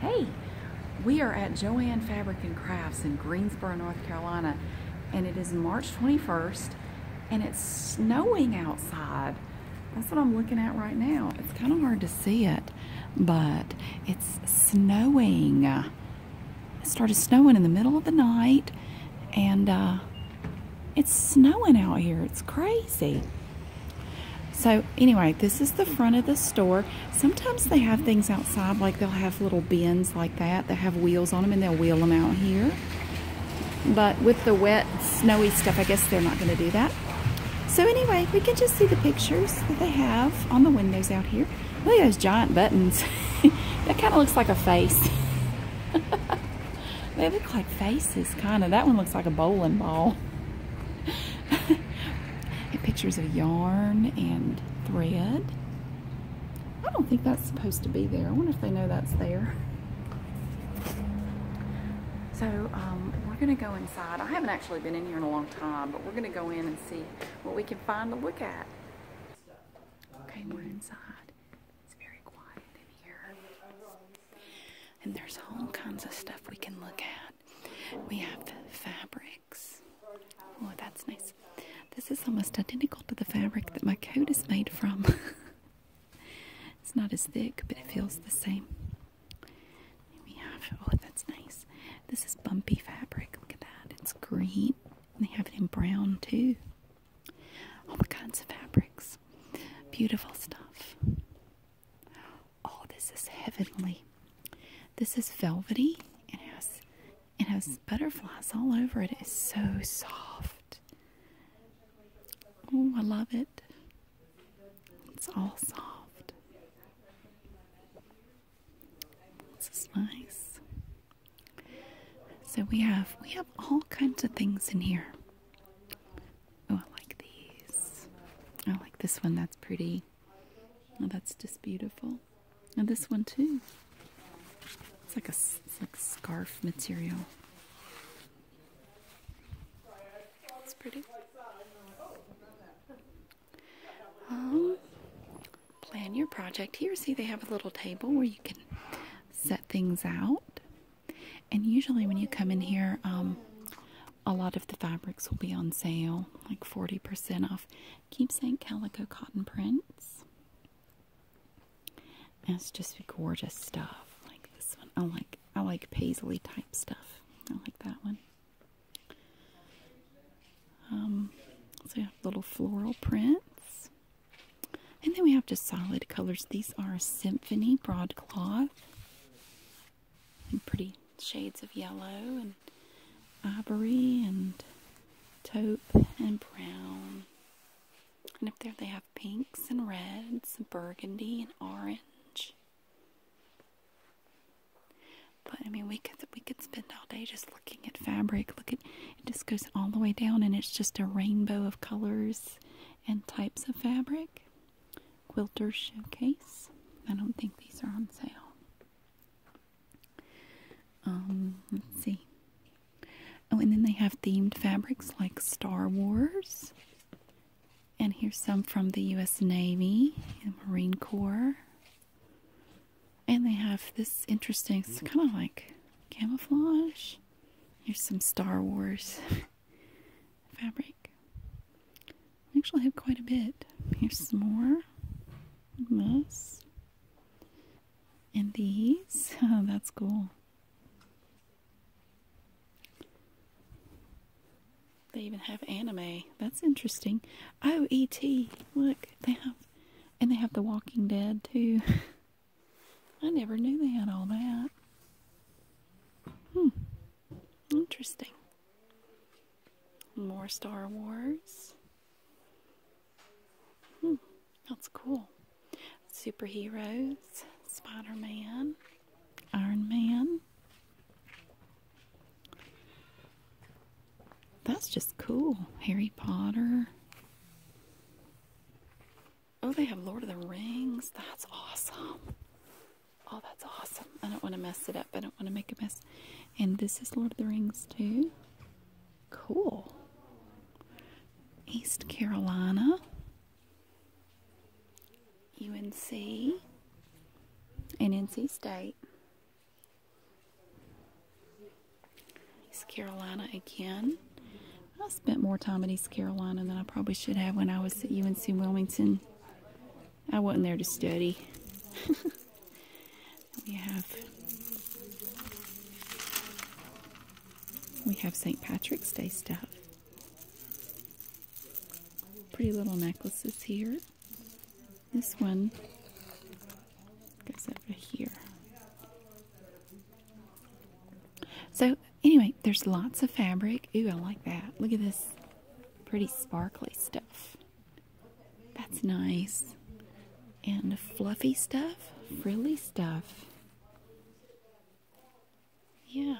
Hey, we are at Joanne Fabric and Crafts in Greensboro, North Carolina, and it is March 21st, and it's snowing outside. That's what I'm looking at right now. It's kind of hard to see it, but it's snowing. It started snowing in the middle of the night, and uh, it's snowing out here. It's crazy. So anyway, this is the front of the store. Sometimes they have things outside, like they'll have little bins like that that have wheels on them, and they'll wheel them out here. But with the wet, snowy stuff, I guess they're not going to do that. So anyway, we can just see the pictures that they have on the windows out here. Look at those giant buttons. that kind of looks like a face. they look like faces, kind of. That one looks like a bowling ball. pictures of yarn and thread. I don't think that's supposed to be there. I wonder if they know that's there. So um, we're going to go inside. I haven't actually been in here in a long time, but we're going to go in and see what we can find to look at. Okay, we're inside. It's very quiet in here. And there's all kinds of stuff we can look at. We have fabrics. Oh, that's nice. This is almost identical to the fabric that my coat is made from. it's not as thick, but it feels the same. We have, oh, that's nice. This is bumpy fabric. Look at that. It's green. And they have it in brown, too. All kinds of fabrics. Beautiful stuff. Oh, this is heavenly. This is velvety and has it has butterflies all over it. It's so soft. Oh, I love it. It's all soft. This is nice. So we have we have all kinds of things in here. Oh, I like these. I like this one. That's pretty. Oh, that's just beautiful. And this one too. It's like a like scarf material. It's pretty. Um, plan your project here. See, they have a little table where you can set things out. And usually, when you come in here, um, a lot of the fabrics will be on sale, like 40% off. Keepsake calico cotton prints. That's just gorgeous stuff. Like this one. I like I like paisley type stuff. I like that one. Um, so we have little floral prints. And then we have just solid colors. These are symphony broadcloth and pretty shades of yellow and ivory and taupe and brown. And up there they have pinks and reds and burgundy and orange. But I mean we could we could spend all day just looking at fabric. Look at it just goes all the way down and it's just a rainbow of colors and types of fabric. Quilter Showcase. I don't think these are on sale. Um, let's see. Oh, and then they have themed fabrics like Star Wars. And here's some from the U.S. Navy and Marine Corps. And they have this interesting, it's kind of like camouflage. Here's some Star Wars fabric. I actually have quite a bit. Here's some more. This. And these. Oh, that's cool. They even have anime. That's interesting. O E T. Look, they have, and they have The Walking Dead too. I never knew they had all that. Hmm. Interesting. More Star Wars. Hmm, that's cool. Superheroes, Spider Man, Iron Man. That's just cool. Harry Potter. Oh, they have Lord of the Rings. That's awesome. Oh, that's awesome. I don't want to mess it up. I don't want to make a mess. And this is Lord of the Rings, too. Cool. East Carolina. UNC. And NC State. East Carolina again. I spent more time at East Carolina than I probably should have when I was at UNC Wilmington. I wasn't there to study. we have we have St. Patrick's Day stuff. Pretty little necklaces here. This one goes over here. So anyway, there's lots of fabric. Ooh, I like that. Look at this Pretty sparkly stuff. That's nice. And fluffy stuff, frilly stuff. Yeah.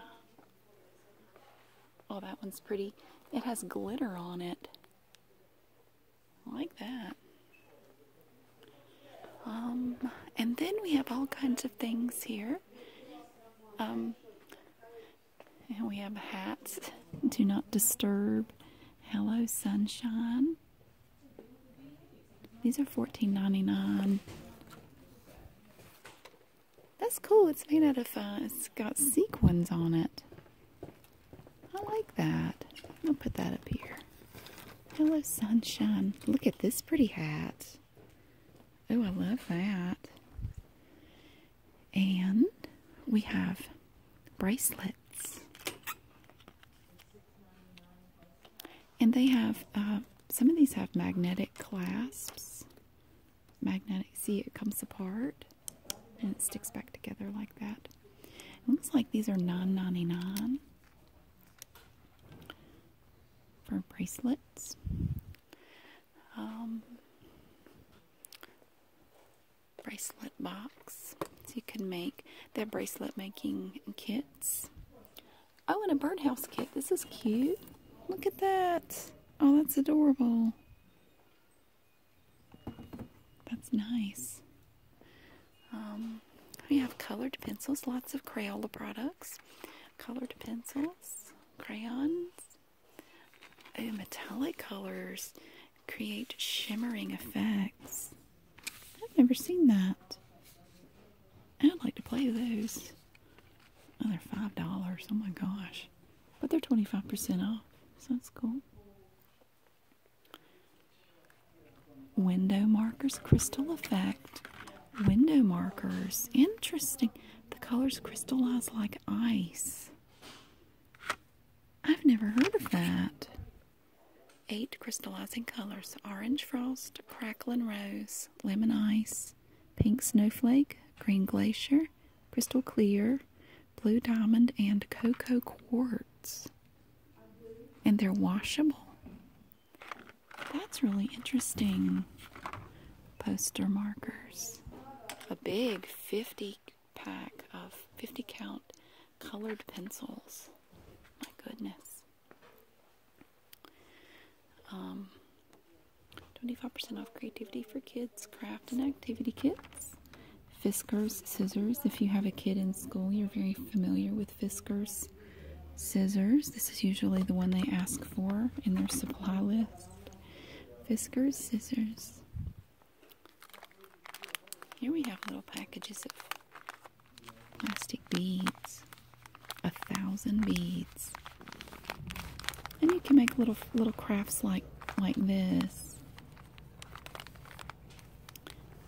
Oh, that one's pretty. It has glitter on it. I like that. Um, and then we have all kinds of things here. Um, and we have hats. Do not disturb. Hello, sunshine. These are $14.99. That's cool. It's made out of, uh, it's got sequins on it. I like that. i will put that up here. Hello, sunshine. Look at this pretty hat. Oh, I love that. And we have bracelets. And they have, uh, some of these have magnetic clasps. Magnetic, see it comes apart and it sticks back together like that. It looks like these are $9.99 for bracelets. Um, bracelet box. So you can make that bracelet making kits. Oh, and a birdhouse kit. This is cute. Look at that. Oh, that's adorable. That's nice. Um, we have colored pencils, lots of Crayola products, colored pencils, crayons, Oh, metallic colors create shimmering effects. I've never seen that. I'd like to play those. Oh, they're five dollars. Oh my gosh. But they're 25% off, so that's cool. Window markers, crystal effect. Window markers. Interesting. The colors crystallize like ice. I've never heard of that. Eight crystallizing colors orange frost, crackling rose, lemon ice, pink snowflake, green glacier, crystal clear, blue diamond, and cocoa quartz. And they're washable. That's really interesting poster markers. A big 50 pack of 50 count colored pencils. My goodness. 25% um, off creativity for kids, craft and activity kits. Fiskars scissors. If you have a kid in school, you're very familiar with Fiskars scissors. This is usually the one they ask for in their supply list. Fiskars scissors. Here we have little packages of plastic beads. A thousand beads. And you can make little little crafts like like this.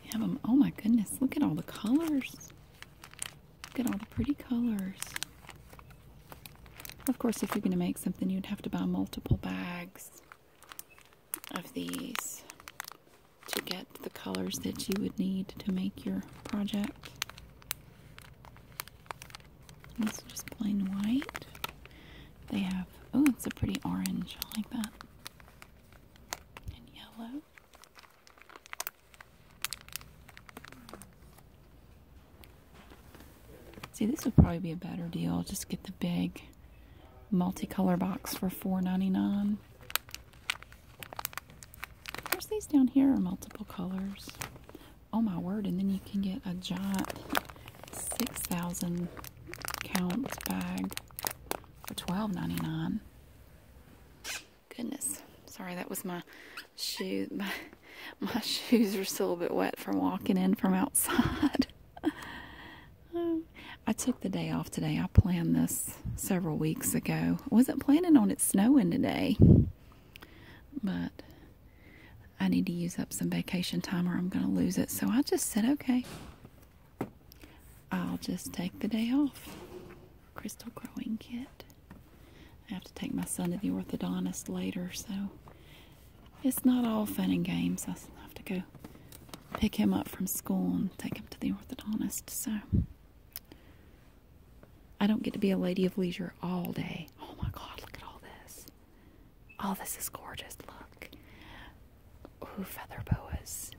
You have them. Oh my goodness! Look at all the colors. Look at all the pretty colors. Of course, if you're going to make something, you'd have to buy multiple bags of these to get the colors that you would need to make your project. This is just plain white. They have, oh, it's a pretty orange. I like that. And yellow. See, this would probably be a better deal. Just get the big multicolor box for $4.99. Of these down here are multiple colors. Oh my word, and then you can get a giant 6,000 count bag for $12.99. Goodness. Sorry, that was my shoe. my shoes are still a bit wet from walking in from outside. I took the day off today. I planned this several weeks ago. I wasn't planning on it snowing today, but I need to use up some vacation time or I'm going to lose it. So I just said, okay, I'll just take the day off. Crystal growing kit. I have to take my son to the orthodontist later, so it's not all fun and games. I have to go pick him up from school and take him to the orthodontist. So I don't get to be a lady of leisure all day. Oh my God! Look at all this. All oh, this is gorgeous. Look. Ooh, feather boas.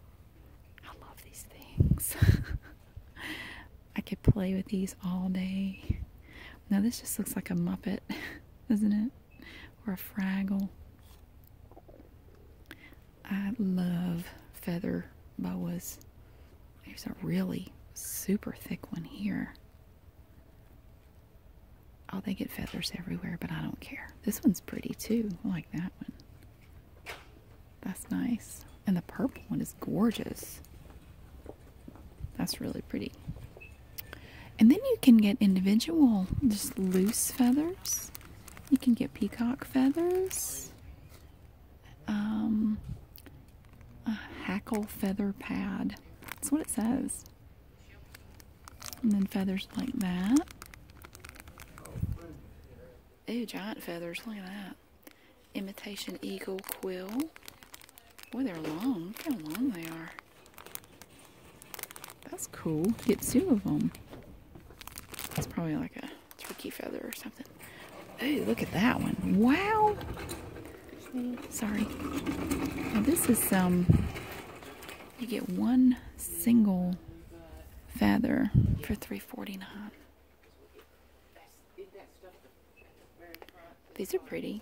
I love these things. I could play with these all day. Now this just looks like a Muppet, doesn't it? Or a Fraggle. I love feather boas. There's a really super thick one here. Oh, they get feathers everywhere, but I don't care. This one's pretty too. I like that one. That's nice. And the purple one is gorgeous. That's really pretty. And then you can get individual, just loose feathers. You can get peacock feathers, um, a hackle feather pad. That's what it says. And then feathers like that. Ooh, giant feathers. Look at that. Imitation eagle quill. Boy, they're long. Look how long they are. That's cool. Get two of them. It's probably like a turkey feather or something. Ooh, look at that one. Wow. Sorry. this is some, um, you get one single feather for 349 these are pretty.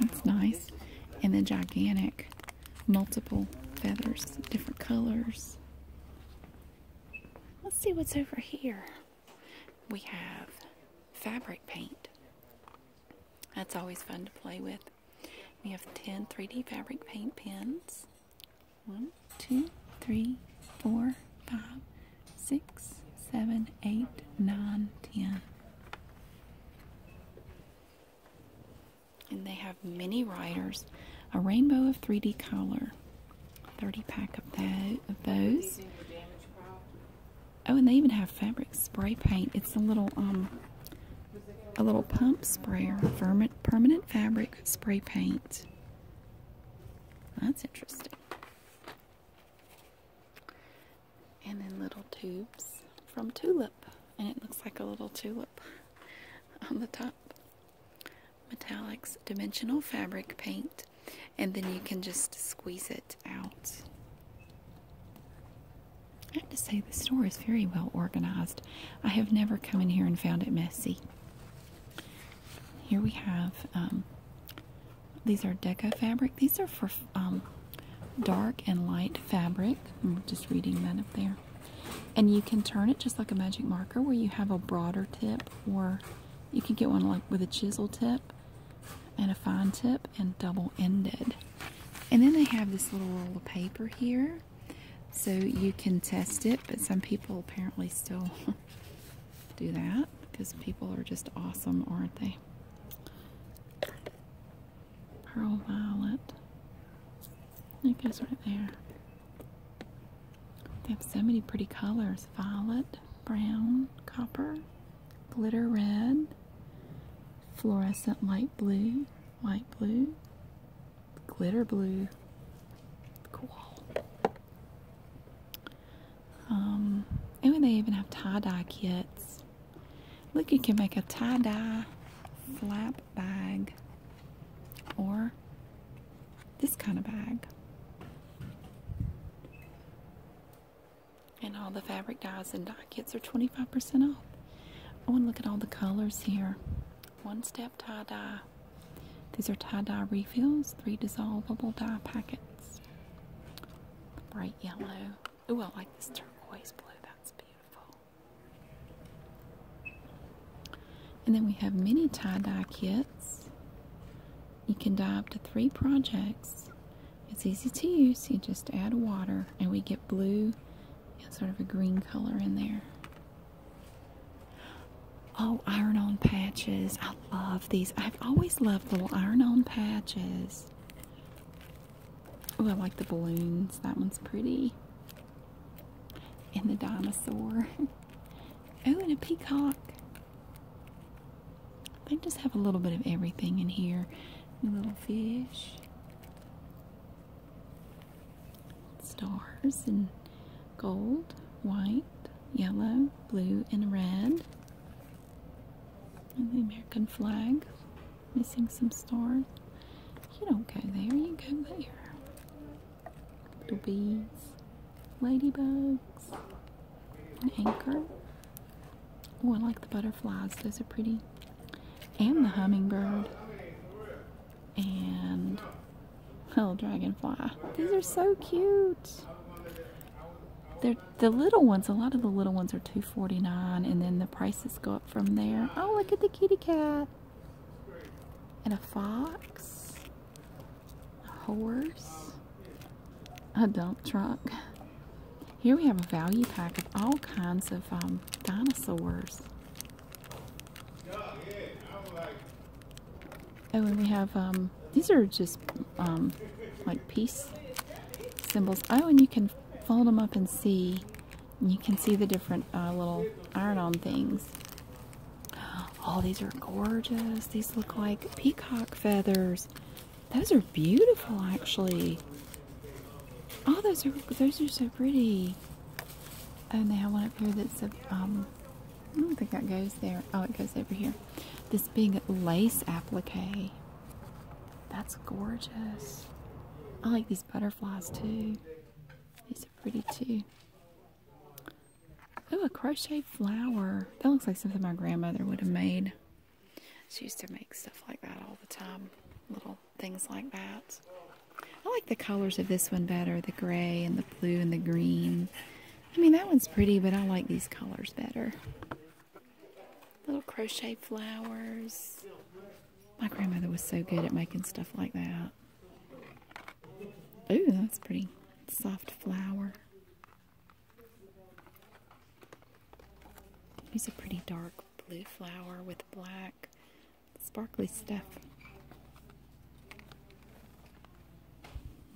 That's nice. And the gigantic multiple feathers, different colors. Let's see what's over here. We have fabric paint. That's always fun to play with. We have 10 3D fabric paint pens. One, two, three, four, five, six, seven, eight, nine, ten. And they have mini riders, a rainbow of 3D color, 30 pack of, that, of those. Oh, and they even have fabric spray paint. It's a little um, a little pump sprayer, permanent fabric spray paint. That's interesting and then little tubes from tulip and it looks like a little tulip on the top metallics dimensional fabric paint and then you can just squeeze it out I have to say the store is very well organized I have never come in here and found it messy here we have um, these are Deco fabric. These are for um, dark and light fabric. I'm just reading that up there. And you can turn it just like a magic marker where you have a broader tip or you can get one like with a chisel tip and a fine tip and double-ended. And then they have this little roll of paper here so you can test it, but some people apparently still do that because people are just awesome, aren't they? Pearl Violet. It goes right there. They have so many pretty colors. Violet, brown, copper, glitter red, fluorescent light blue, light blue, glitter blue. Cool. Um, and they even have tie-dye kits. Look, you can make a tie-dye flap bag or this kind of bag. And all the fabric dyes and dye kits are 25% off. Oh, and look at all the colors here. One step tie dye. These are tie dye refills, three dissolvable dye packets bright yellow. Oh, I like this turquoise blue. That's beautiful. And then we have mini tie-dye kits. You can dye up to three projects. It's easy to use. You just add water and we get blue and sort of a green color in there. Oh, iron-on patches love these. I've always loved little iron-on patches. Oh, I like the balloons. That one's pretty. And the dinosaur. oh, and a peacock. They just have a little bit of everything in here. A little fish. Stars and gold, white, yellow, blue, and red. And the American flag. Missing some stars. You don't go there, you go there. Little bees, ladybugs, an anchor. Oh, I like the butterflies, those are pretty. And the hummingbird. And little dragonfly. These are so cute. They're the little ones, a lot of the little ones are $2.49 and then the prices go up from there. Oh, look at the kitty cat. And a fox. A horse. A dump truck. Here we have a value pack of all kinds of um, dinosaurs. Oh, and we have um, these are just um, like peace symbols. Oh, and you can fold them up and see. you can see the different uh, little iron-on things. Oh, these are gorgeous. These look like peacock feathers. Those are beautiful, actually. Oh, those are those are so pretty. Oh, and they have one up here that's a um, I don't think that goes there. Oh, it goes over here. This big lace applique. That's gorgeous. I like these butterflies too. These are pretty too. Oh, a crochet flower. That looks like something my grandmother would have made. She used to make stuff like that all the time. Little things like that. I like the colors of this one better. The gray and the blue and the green. I mean, that one's pretty, but I like these colors better little crochet flowers. My grandmother was so good at making stuff like that. Ooh, that's pretty. Soft flower. He's a pretty dark blue flower with black sparkly stuff.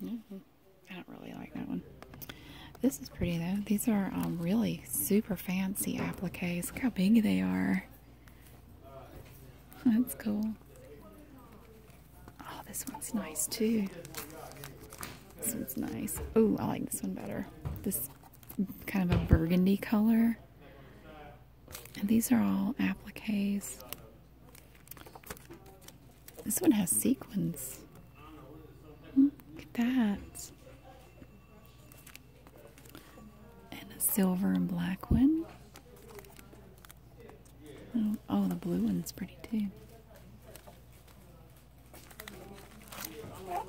-hmm. I don't really like that one. This is pretty though. These are um, really super fancy appliques. Look how big they are. That's cool. Oh, this one's nice too. This one's nice. Oh, I like this one better. This kind of a burgundy color. And these are all appliques. This one has sequins. Hmm, look at that. And a silver and black one. Oh, oh the blue one's pretty too.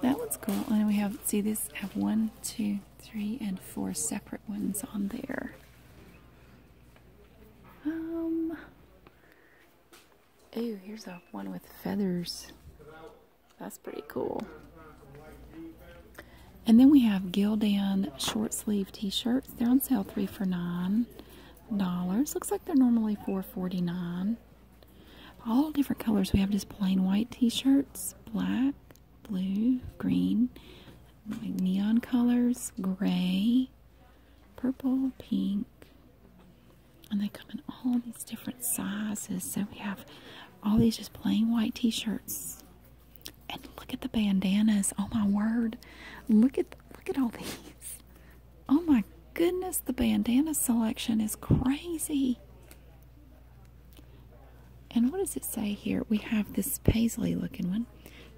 That one's cool. And we have, see this, have one, two, three, and four separate ones on there. Um, Ooh, here's a one with feathers. That's pretty cool. And then we have Gildan short sleeve t-shirts. They're on sale three for nine dollars. Looks like they're normally four forty nine. All different colors. We have just plain white t-shirts, black, blue, green, neon colors, gray, purple, pink, and they come in all these different sizes. So we have all these just plain white t-shirts. And look at the bandanas. Oh my word. Look at look at all these. Oh my goodness, the bandana selection is crazy. And what does it say here? We have this paisley looking one.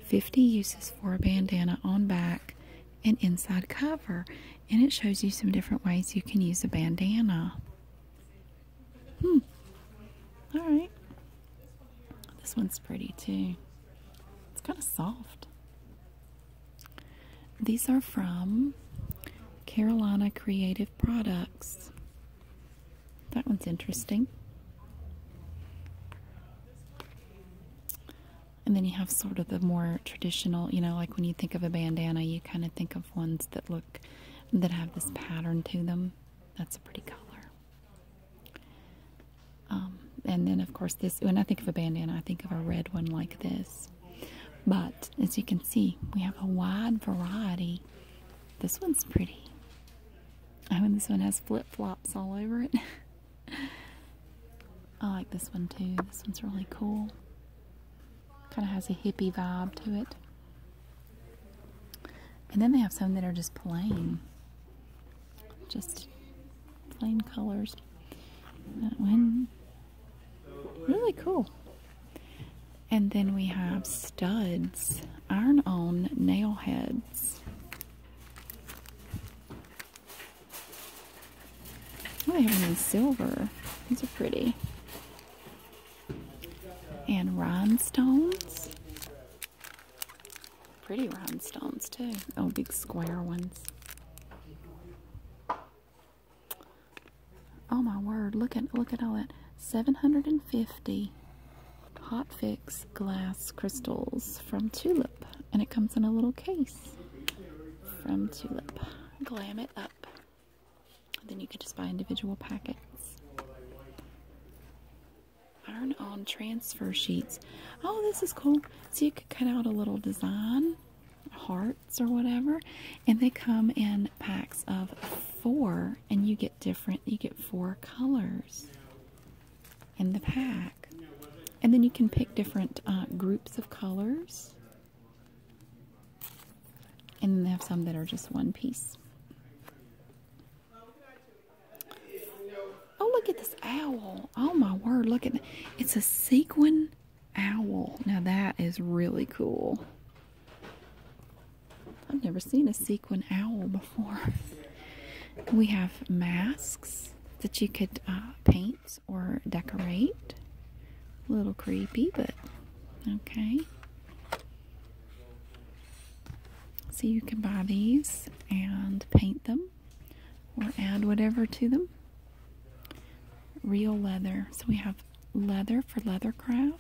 50 uses for a bandana on back an inside cover and it shows you some different ways you can use a bandana. Hmm. All right. This one's pretty too. It's kind of soft. These are from Carolina Creative Products. That one's interesting. And then you have sort of the more traditional, you know, like when you think of a bandana, you kind of think of ones that look, that have this pattern to them. That's a pretty color. Um, and then, of course, this, when I think of a bandana, I think of a red one like this. But as you can see, we have a wide variety. This one's pretty. I oh, mean, this one has flip flops all over it. I like this one too. This one's really cool. Kind of has a hippie vibe to it. And then they have some that are just plain. Just plain colors. That one. Really cool. And then we have studs, iron on nail heads. Oh, I have them in silver. These are pretty. And rhinestones. Pretty rhinestones, too. Oh, big square ones. Oh my word, look at look at all that. 750 hot fix glass crystals from Tulip and it comes in a little case from Tulip. Glam it up. Then you can just buy individual packets. Iron on transfer sheets. Oh, this is cool. So you could cut out a little design, hearts or whatever, and they come in packs of four, and you get different, you get four colors in the pack. And then you can pick different uh, groups of colors. And then they have some that are just one piece. Oh, look at this owl. Oh, my word. Look at it. It's a sequin owl. Now, that is really cool. I've never seen a sequin owl before. we have masks that you could uh, paint or decorate. A little creepy, but okay. So you can buy these and paint them or add whatever to them. Real leather. So we have leather for leather craft.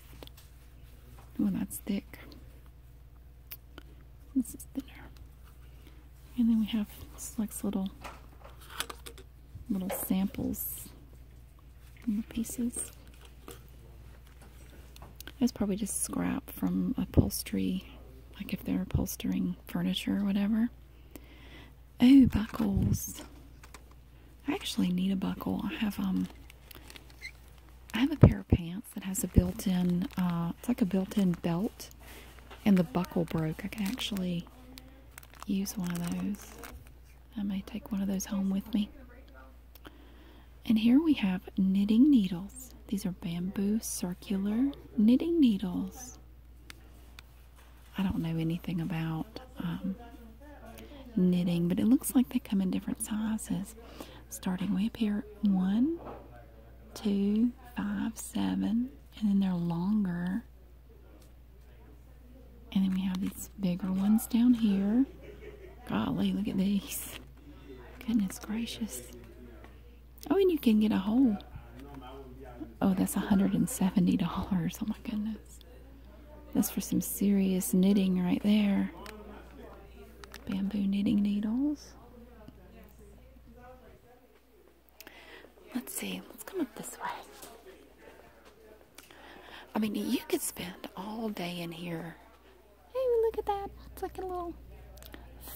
Well, oh, that's thick. This is thinner. And then we have this Looks little little samples from the pieces. That's probably just scrap from upholstery, like if they're upholstering furniture or whatever. Oh, buckles. I actually need a buckle. I have um I have a pair of pants that has a built-in uh, it's like a built-in belt and the buckle broke. I can actually use one of those. I may take one of those home with me. And here we have knitting needles. These are bamboo circular knitting needles. I don't know anything about um, knitting, but it looks like they come in different sizes. Starting way up here, one, two, five, seven, and then they're longer and then we have these bigger ones down here. Golly, look at these. Goodness gracious. Oh, and you can get a whole. Oh, that's $170. Oh my goodness. That's for some serious knitting right there. Bamboo knitting needles. Let's see, let's come up this way. I mean, you could spend all day in here. Hey, look at that. It's like a little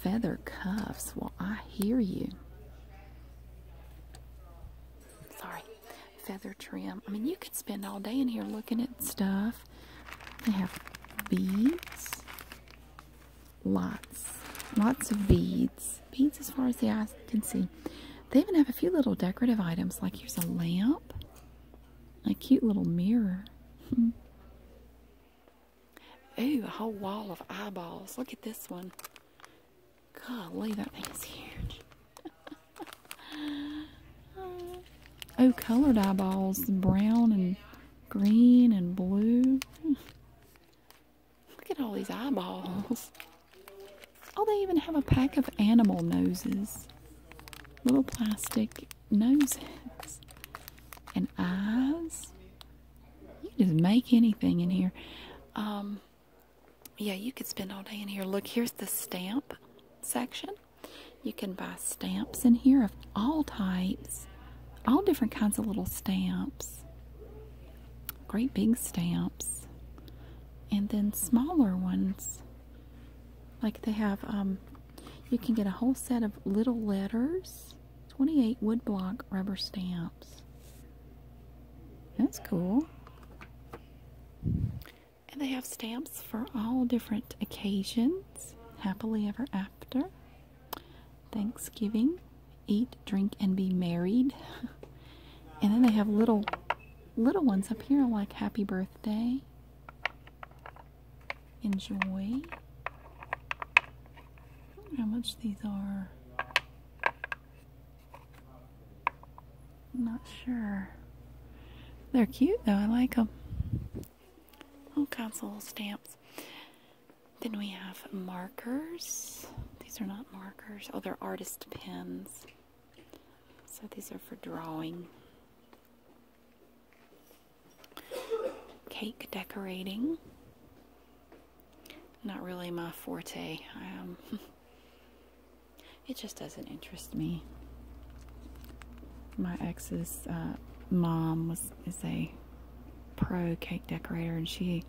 feather cuffs. Well, I hear you. Sorry, feather trim. I mean, you could spend all day in here looking at stuff. They have beads, lots, lots of beads beads. as far as the eye can see. They even have a few little decorative items, like here's a lamp, a cute little mirror. Hmm. Ooh, a whole wall of eyeballs. Look at this one. Golly, that thing is huge. oh, colored eyeballs. Brown and green and blue. Hmm. Look at all these eyeballs. Oh, they even have a pack of animal noses. Little plastic noses. And eyes. You can just make anything in here. Um, yeah, you could spend all day in here. Look, here's the stamp section. You can buy stamps in here of all types, all different kinds of little stamps great big stamps, and then smaller ones. Like they have, um, you can get a whole set of little letters, 28 woodblock rubber stamps. That's cool. And they have stamps for all different occasions. Happily ever after, Thanksgiving, eat, drink, and be married. and then they have little little ones up here like happy birthday. Enjoy. how much these are. not sure. They're cute though. I like them. All kinds of little stamps. Then we have markers. These are not markers. Oh, they're artist pens. So these are for drawing. Cake decorating. Not really my forte. Um, it just doesn't interest me. My ex's uh, mom was is a pro cake decorator, and she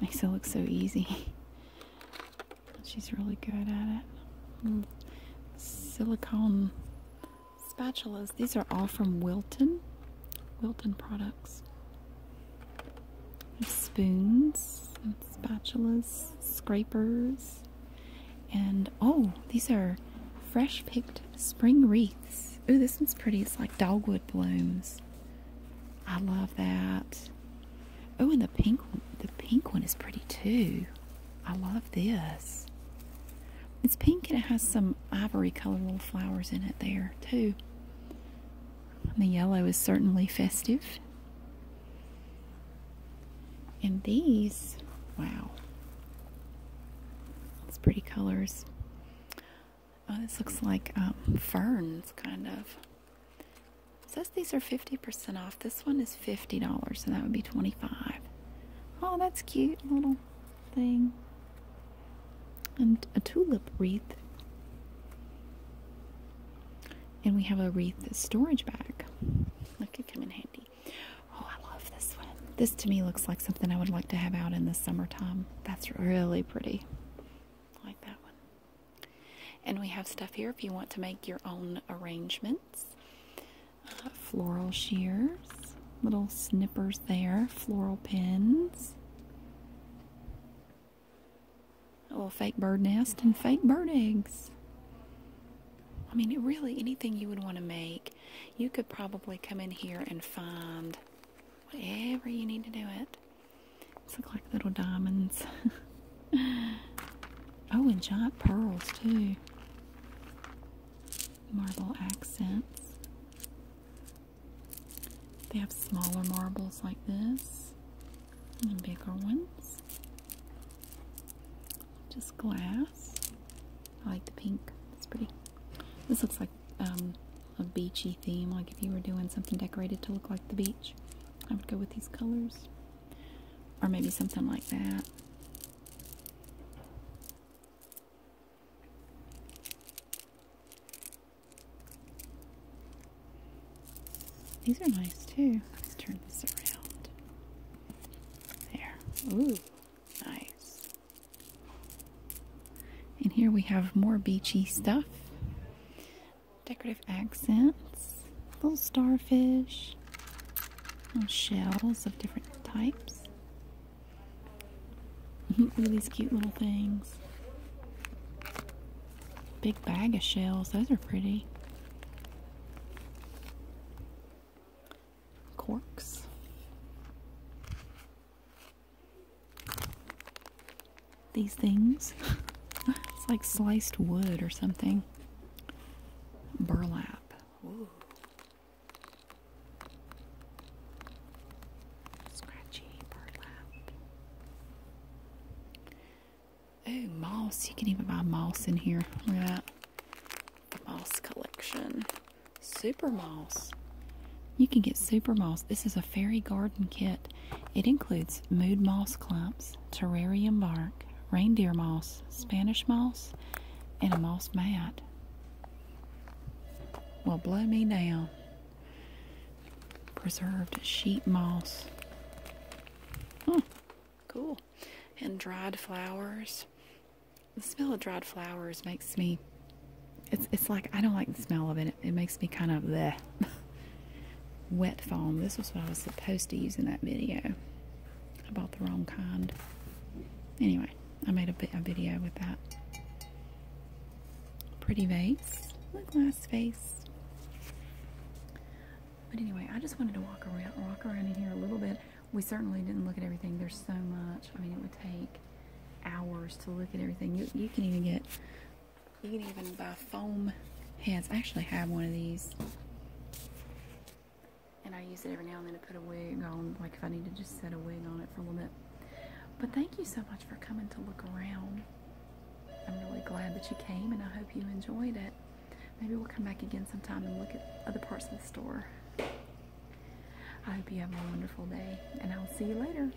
makes it look so easy. She's really good at it. Mm. Silicone spatulas. These are all from Wilton. Wilton products. spoons spatulas, scrapers, and oh, these are fresh picked spring wreaths. Ooh, this one's pretty. It's like dogwood blooms. I love that. Oh, and the pink one, the pink one is pretty too. I love this. It's pink and it has some ivory colored little flowers in it there too. the yellow is certainly festive. And these, wow. It's pretty colors. Oh, this looks like um, ferns, kind of. says these are 50% off. This one is $50, so that would be 25 Oh, that's cute. Little thing. And a tulip wreath. And we have a wreath storage bag. That could come in handy. Oh, I love this one. This to me looks like something I would like to have out in the summertime. That's really pretty. like that one. And we have stuff here if you want to make your own arrangements. Uh, floral shears, little snippers there, floral pins, a little fake bird nest, and fake bird eggs. I mean, really, anything you would want to make, you could probably come in here and find whatever you need to do it. It's look like little diamonds. oh, and giant pearls too. Marble accents. They have smaller marbles like this and bigger ones. Just glass. I like the pink. It's pretty. This looks like um, a beachy theme, like if you were doing something decorated to look like the beach, I would go with these colors. Or maybe something like that. These are nice too. Let's turn this around. There. Ooh, nice. And here we have more beachy stuff decorative accents, little starfish, shells of different types. Look at these cute little things. Big bag of shells, those are pretty. Corks these things. it's like sliced wood or something. Burlap. Ooh. Scratchy burlap. Oh, moss. You can even buy moss in here. Look at that. moss collection. Super moss. You can get super moss. This is a fairy garden kit. It includes mood moss clumps, terrarium bark, reindeer moss, Spanish moss, and a moss mat. Well, blow me down. Preserved sheep moss. Huh, hmm. cool. And dried flowers. The smell of dried flowers makes me. It's, it's like I don't like the smell of it it, makes me kind of the wet foam. This was what I was supposed to use in that video. I bought the wrong kind. Anyway, I made a, a video with that. Pretty vase. Look, glass vase. But anyway, I just wanted to walk around, walk around in here a little bit. We certainly didn't look at everything. There's so much. I mean, it would take hours to look at everything. You, you can even get you can even buy foam heads. I actually have one of these. And I use it every now and then to put a wig on, like if I need to just set a wig on it for a little bit. But thank you so much for coming to look around. I'm really glad that you came and I hope you enjoyed it. Maybe we'll come back again sometime and look at other parts of the store. I hope you have a wonderful day and I'll see you later.